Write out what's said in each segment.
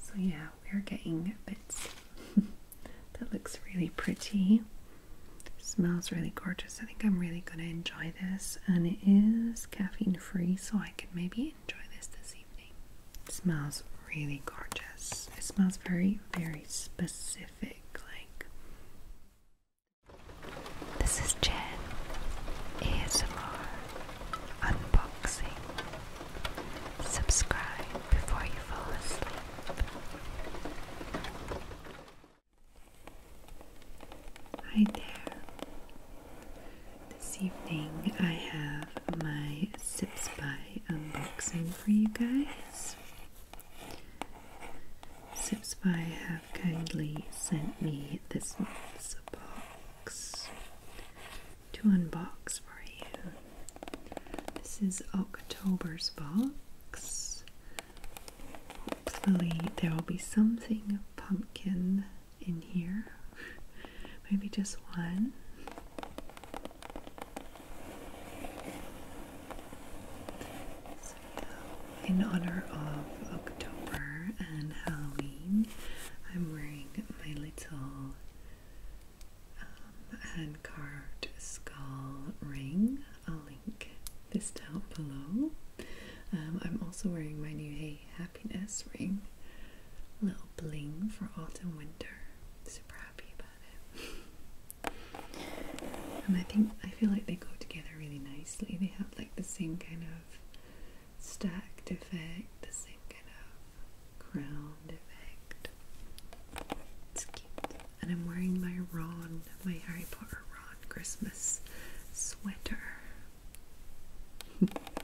So, yeah, we're getting bits. that looks really pretty. Smells really gorgeous. I think I'm really going to enjoy this, and it is caffeine free, so I can maybe enjoy this this evening. It smells really gorgeous. It smells very, very specific. Like this is Jen ASMR unboxing. Subscribe before you fall asleep. Hi there. This evening I have my Sips by unboxing for you guys. Sips by have kindly sent me this month's box to unbox for you. This is October's box. Hopefully, there will be something pumpkin in here. Maybe just one in honor of October and Halloween, I'm wearing my little um, hand carved skull ring. I'll link this down below. Um, I'm also wearing my new Hey ring. little bling for autumn winter. Super happy about it. and I think I feel like they go together really nicely. They have like the same kind of stacked effect, the same kind of crowned effect. It's cute. And I'm wearing my Ron, my Harry Potter Ron Christmas sweater.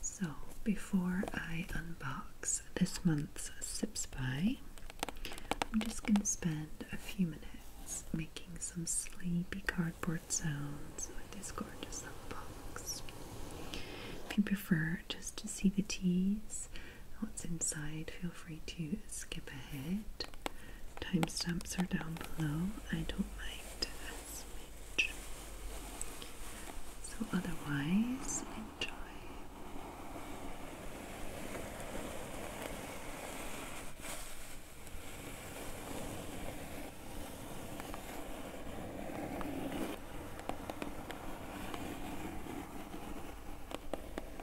So, before I unbox this month's Sip Spy, I'm just going to spend a few minutes making some sleepy cardboard sounds with this gorgeous little box. If you prefer just to see the teas, what's inside, feel free to skip ahead. Timestamps are down below. I don't mind as much. So otherwise, enjoy.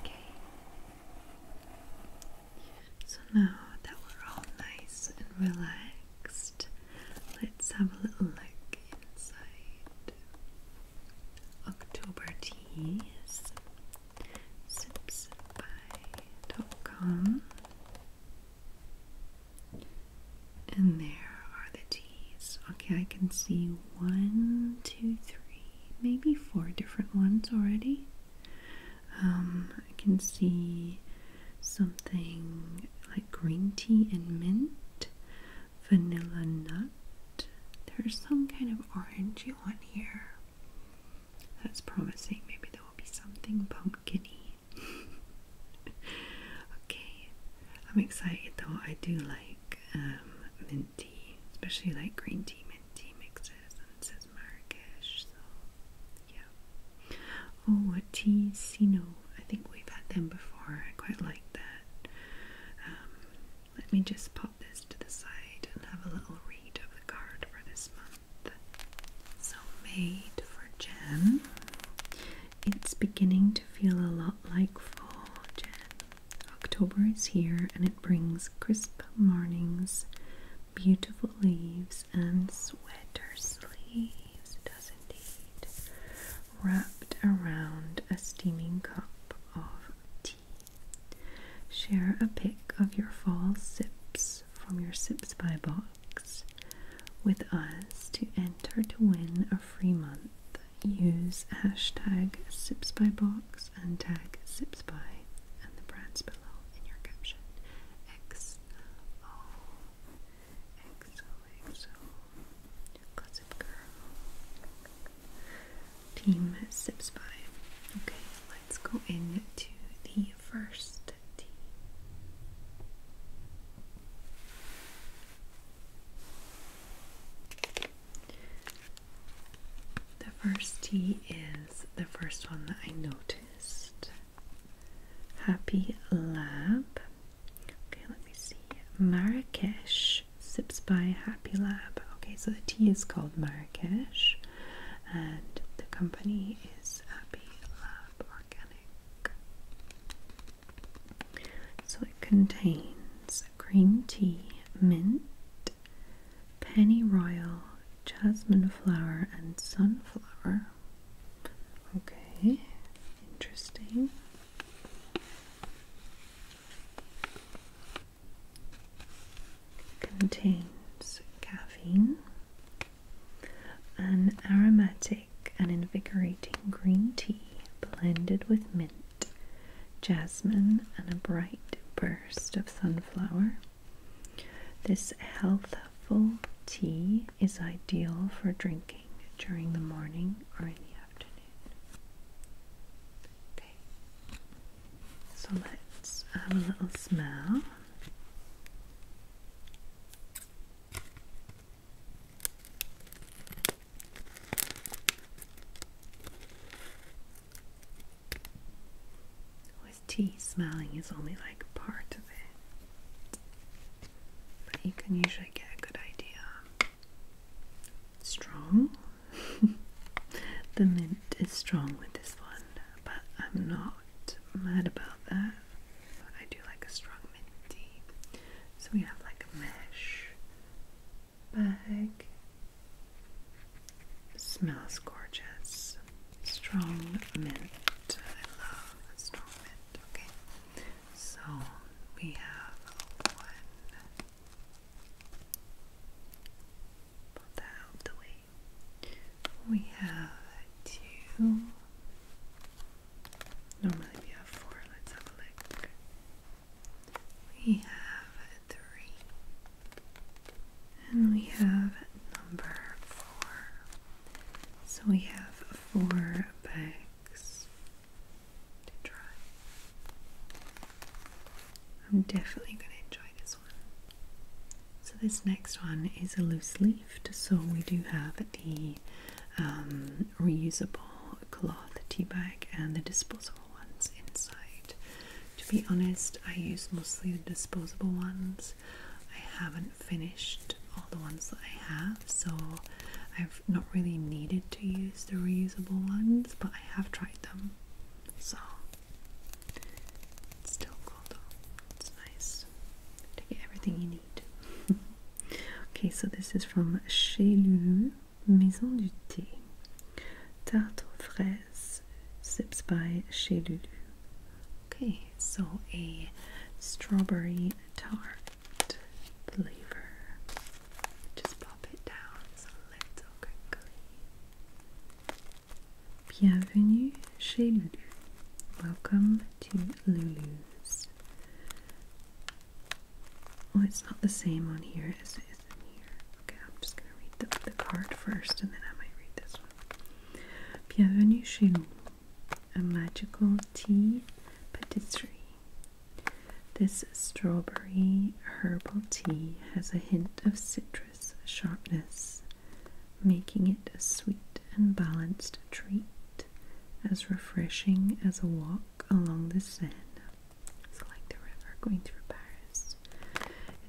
Okay. So now that we're all nice and relaxed, Let's have a little look inside. October teas, sips and there are the teas. Okay, I can see one, two, three, maybe four different ones already. Um, I can see something like green tea and mint, vanilla nut. There's some kind of orangey one here. That's promising. Maybe there will be something pumpkiny. okay, I'm excited though. I do like um, minty, especially like green tea, mint tea mixes, and it says Marrakesh, so yeah. Oh, a Tisino. I think we've had them before. I quite like that. Um, let me just pop this to the side and have a little read of the card for this month. So, made for Jen. It's beginning to feel a lot like fall, Jen. October is here and it brings crisp mornings, beautiful leaves, sleeves and sweater sleeves, does indeed, wrapped around a steaming cup of tea. Share a pic of your fall sips from your Sips by box with us to enter to win a free month. Use hashtag Sips by box and tag Sips by and the brands below in your caption. X O XOXO Gossip Girl Team Sips by. Okay, let's go into the first T. The first tea is the first one that I noticed Happy Lab. Okay, let me see. Marrakesh Sips by Happy Lab. Okay, so the tea is called Marrakesh and the company is Happy Lab Organic. So it contains green tea, mint, pennyroyal, jasmine flower, and sunflower. Okay, interesting. Contains caffeine, an aromatic and invigorating green tea blended with mint, jasmine, and a bright burst of sunflower. This healthful tea is ideal for drinking during the morning or in the afternoon. so let's have a little smell with tea, smelling is only like part of it. But you can usually get a good idea. Strong. the mint is strong with this one, but I'm not mad about that. I do like a strong mint tea. So we have like a mesh bag. Smells gorgeous strong mint. I love strong mint. Okay, so we have one. Put that out the way. We have two. Normally we have four. Let's have a look. We have three. And we have number four. So we have four bags to try. I'm definitely going to enjoy this one. So this next one is a loose leaf. so we do have the um, reusable cloth tea bag and the disposable ones inside. To be honest, I use mostly the disposable ones I haven't finished all the ones that I have, so I've not really needed to use the reusable ones, but I have tried them. So it's still cool though. It's nice to get everything you need. okay, so this is from Chez Lulu, Maison du Thé. Tarte aux fraises as Sips by Chez Okay, so a strawberry tart flavor. Just pop it down, it's a little crinkly. Bienvenue chez Welcome to Lulu's. Oh, it's not the same on here as it is in here. Okay, I'm just gonna read the card first and then I might read this one. Bienvenue chez nous, a magical tea patisserie. This strawberry herbal tea has a hint of citrus sharpness, making it a sweet and balanced treat, as refreshing as a walk along the Seine. It's like the river going through Paris.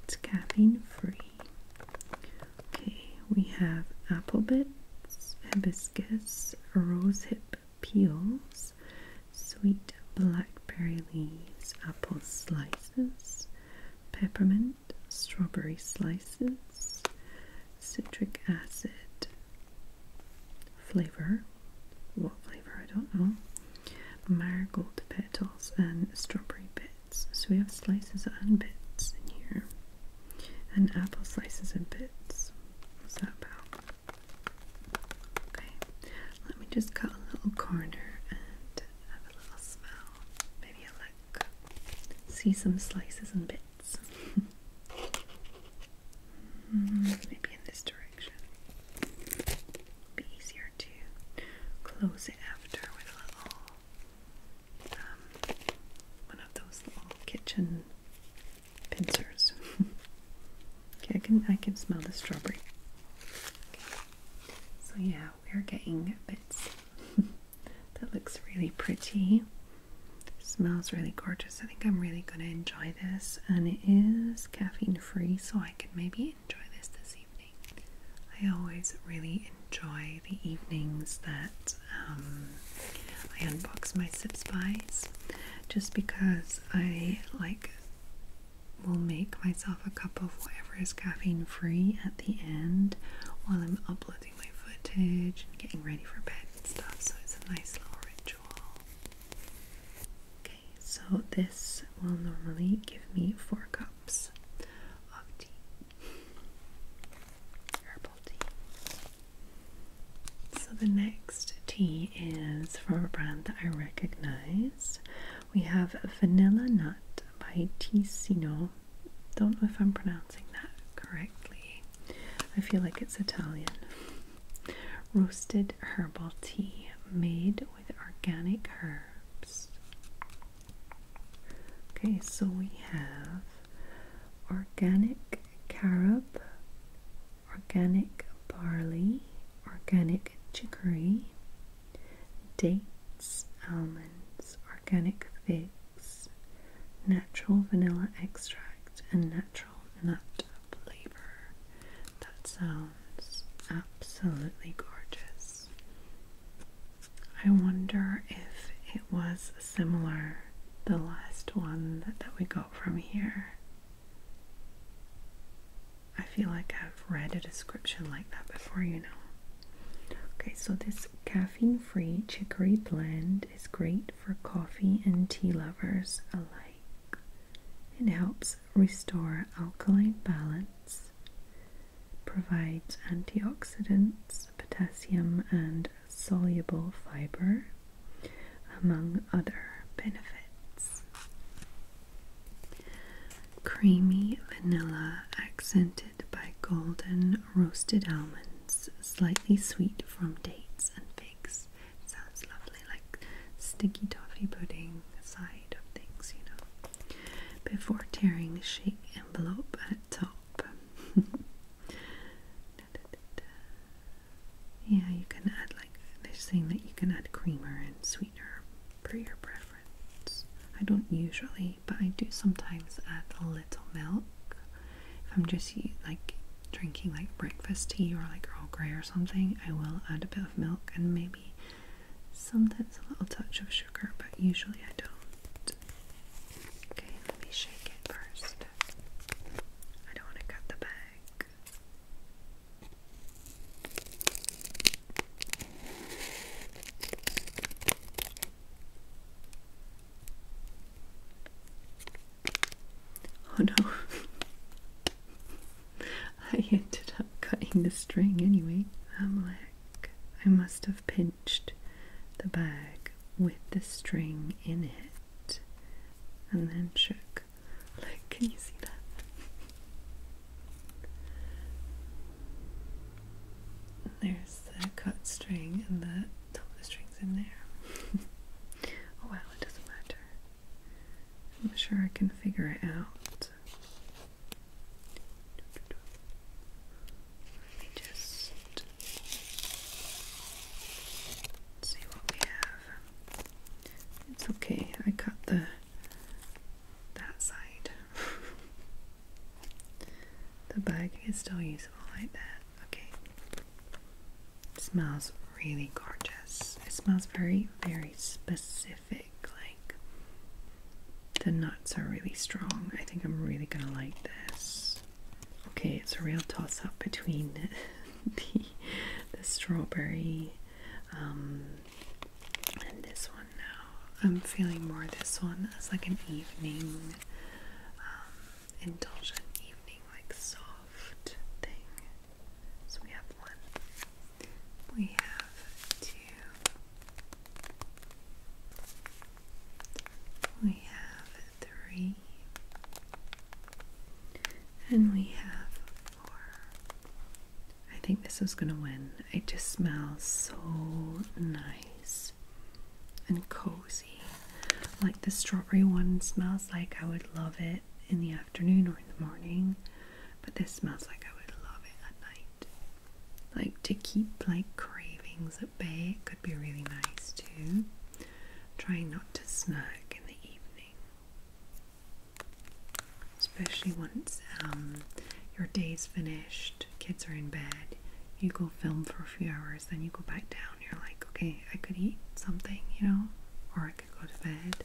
It's caffeine free. Okay, we have apple bits, hibiscus, rose hip peels, sweet blackberry leaves, apple slices, peppermint, strawberry slices, citric acid flavor. What flavor? I don't know. Marigold petals and strawberry bits. So we have slices and bits in here. And apple slices and bits. What's that about? Okay, let me just cut a little corner and have a little smell. Maybe a lick. See some slices and bits. Hmm, maybe in this direction. Be easier to close it after with a one of those little kitchen pincers. okay, I can I can smell the strawberry. So yeah, we're getting bits. that looks really pretty. Smells really gorgeous. I think I'm really gonna enjoy this, and it is caffeine free, so I can maybe enjoy this this evening. I always really enjoy the evenings that um, I unbox my Sip Spies just because I like will make myself a cup of whatever is caffeine free at the end while I'm uploading my footage and getting ready for bed and stuff so it's a nice little ritual. Okay, so this will normally give me four cups. So the next tea is from a brand that I recognize. We have Vanilla Nut by Ticino. Don't know if I'm pronouncing that correctly. I feel like it's Italian. Roasted herbal tea made with organic herbs. Okay, so we have organic carob, organic barley, organic chicory, dates, almonds, organic figs, natural vanilla extract, and natural nut flavor. That sounds absolutely gorgeous. I wonder if it was similar the last one that, we got from here. I feel like I've read a description like that before, you know. Okay, so this caffeine free chicory blend is great for coffee and tea lovers alike. It helps restore alkaline balance, provides antioxidants, potassium, and soluble fiber, among other benefits. Creamy vanilla accented by golden roasted almonds, slightly sweet from dates and figs. sounds lovely, like sticky toffee pudding side of things, you know before tearing the sheet envelope at top. Yeah, you can add like they're saying that you can add creamer and sweetener per your preference. I don't usually, but I do sometimes add a little milk if I'm just like drinking like breakfast tea or like Earl Grey or something. I will add a bit of milk and maybe Sometimes a little touch of sugar, but usually I don't. Okay, let me shake it first. I don't want to cut the bag. Oh no. I ended up cutting the string anyway. I'm like, I must have pinched the bag with the string in it and then shook. Like, can you see that? There's the cut string and the top the string's in there. oh wow, it doesn't matter. I'm sure I can figure it out. Let me just see what we have. It's okay, I cut the that side. the bag is still useful like that. Okay. smells really gorgeous. It smells very, very specific like the nuts are really strong. I think I'm really gonna like this. Okay, it's a real toss up between the, the strawberry um, and this one now. I'm feeling more this one as like an evening, um, indulgent evening, like soft thing. So we have one, we have two, we have three, and we have four. I think this is going to win. It just smells so nice and cozy. Like the strawberry one smells like I would love it in the afternoon or in the morning, but this smells like I would love it at night. Like to keep like cravings at bay, could be really nice too. Trying not to snack in the evening, especially once um, your day's finished, kids are in bed, you go film for a few hours, then you go back down. You're like, okay, I could eat something, you know, or I could go to bed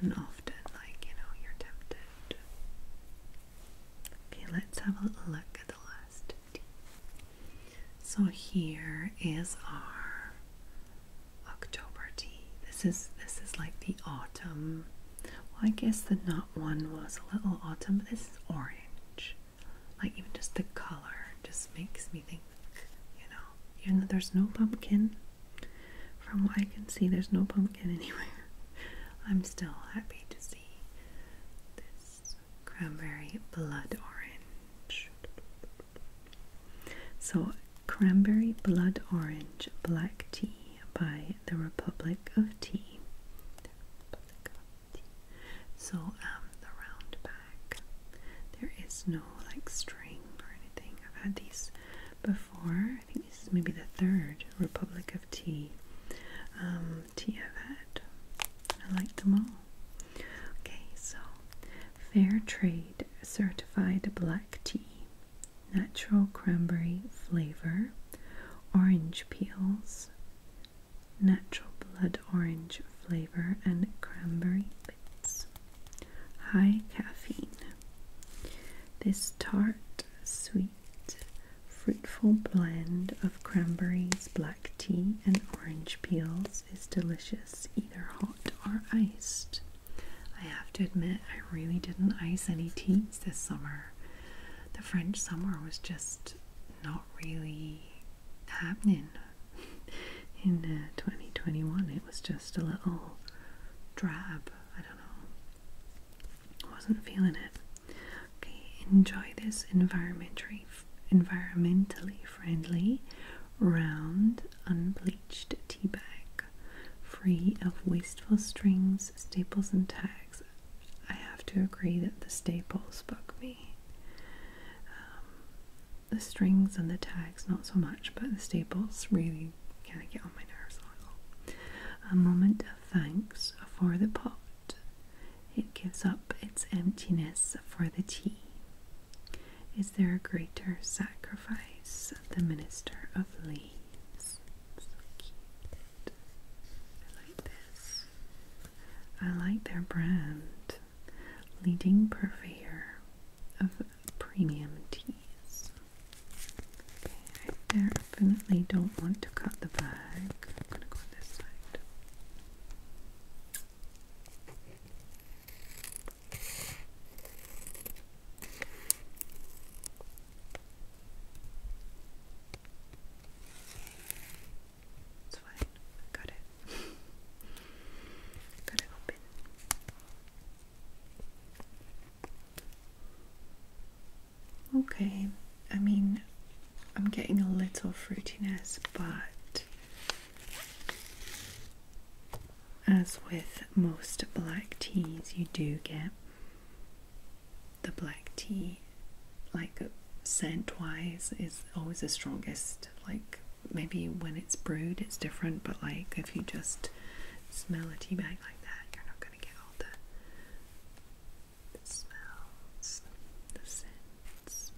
and often, like, you know, you're tempted. Okay, let's have a little look at the last So here is our October tea. This is this is like the autumn. Well, I guess the not one was a little autumn, but this is orange. Like even just the color just makes me think, you know, even though there's no pumpkin, from what I can see, there's no pumpkin anywhere. I'm still happy to see this cranberry blood orange. So, cranberry blood orange black tea by the Republic of Tea. So, um, the round pack. There is no like string or anything. I've had these before. I think this is maybe the third Republic of Tea um, tea I've had. I like them all. Okay, so fair trade certified black tea, natural cranberry flavor, orange peels, natural blood orange flavor, and cranberry High caffeine. This tart, sweet, fruitful blend of cranberries, black tea, and orange peels is delicious either hot or iced. I have to admit, I really didn't ice any teas this summer. The French summer was just not really happening in uh, 2021 it was just a little drab. I don't know. I wasn't feeling it. Okay, enjoy this environmentally, environmentally friendly, round, unbleached tea bag, free of wasteful strings, staples, and tags. I have to agree that the staples bug me. Um, the strings and the tags not so much, but the staples really kind of get on my nerves a little. A moment of thanks for the pot. It gives up its emptiness for the tea. Is there a greater sacrifice? The Minister of Leaves. So cute. I like this. I like their brand. Leading Purveyor of premium teas. Okay, I definitely don't want to cut the bag. I'm gonna go this side. It's fine. got it. Okay, I mean, I'm getting a little fruitiness, but as with most black teas, you do get the black tea, like scent wise, is always the strongest like maybe when it's brewed, it's different, but like if you just smell a tea bag like that, you're not going to get all the, smells, the scents.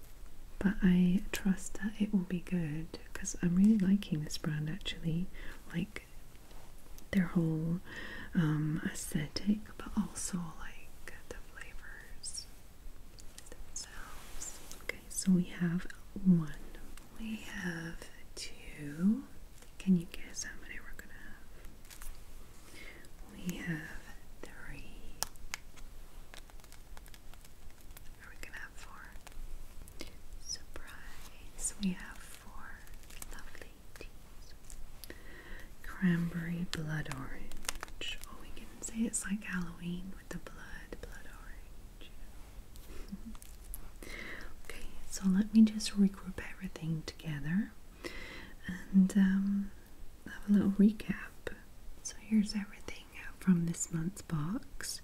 But I trust that it will be good because I'm really liking this brand actually. Like their whole um, aesthetic, but also like the flavors Okay, so we have one, we have two. Can you guess how many we're gonna have? We have three. Are we gonna have four? Surprise! We have four lovely teas. Cranberry blood orange. Oh, we can say it's like Halloween with the blood, blood orange. okay, so let me just regroup everything together and um, have a little recap. So, here's everything from this month's box.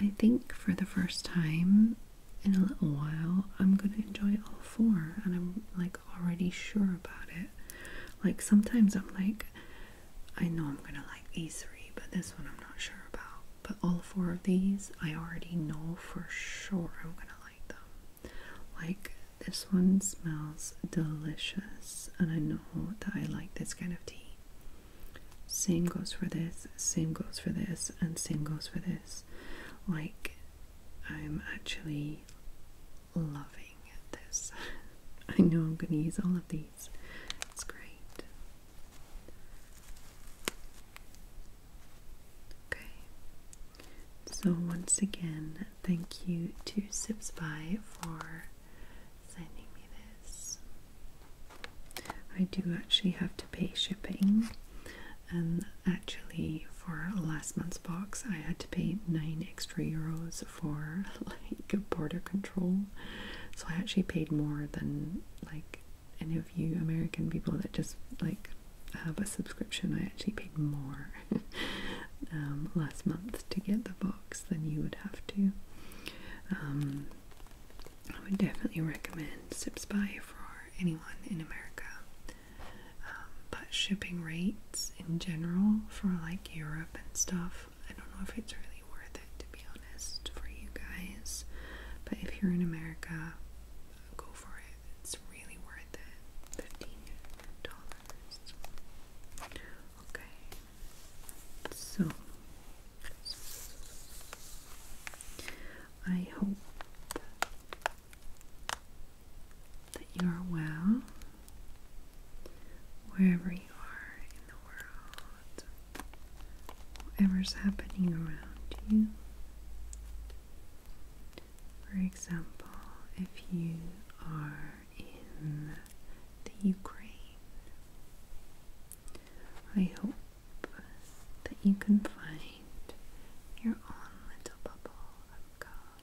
I think for the first time in a little while, I'm gonna enjoy all four, and I'm like already sure about it. Like, sometimes I'm like, I know I'm gonna like these three, but this one I'm not sure about. But all four of these, I already know for sure I'm gonna like them. Like, this one smells delicious, and I know that I like this kind of tea. Same goes for this, same goes for this, and same goes for this. Like, I'm actually loving this. I know I'm going to use all of these. It's great. Okay. So, once again, thank you to Sipspy for sending me this. I do actually have to pay shipping, and um, actually, for last month's box, I had to pay 9 extra euros for like border control. So I actually paid more than like any of you American people that just like have a subscription. I actually paid more um, last month to get the box than you would have to. Um, I would definitely recommend Zip Spy for anyone in America. Um, but shipping rates in general for like Europe and stuff I don't know if it's really worth it to be honest for you guys, but if you're in America, go for it. It's really worth it. Fifteen dollars. Okay. So I hope that you are well wherever you are in the world, whatever's happening around you. For example, if you are in the Ukraine, I hope that you can find your own little bubble of calm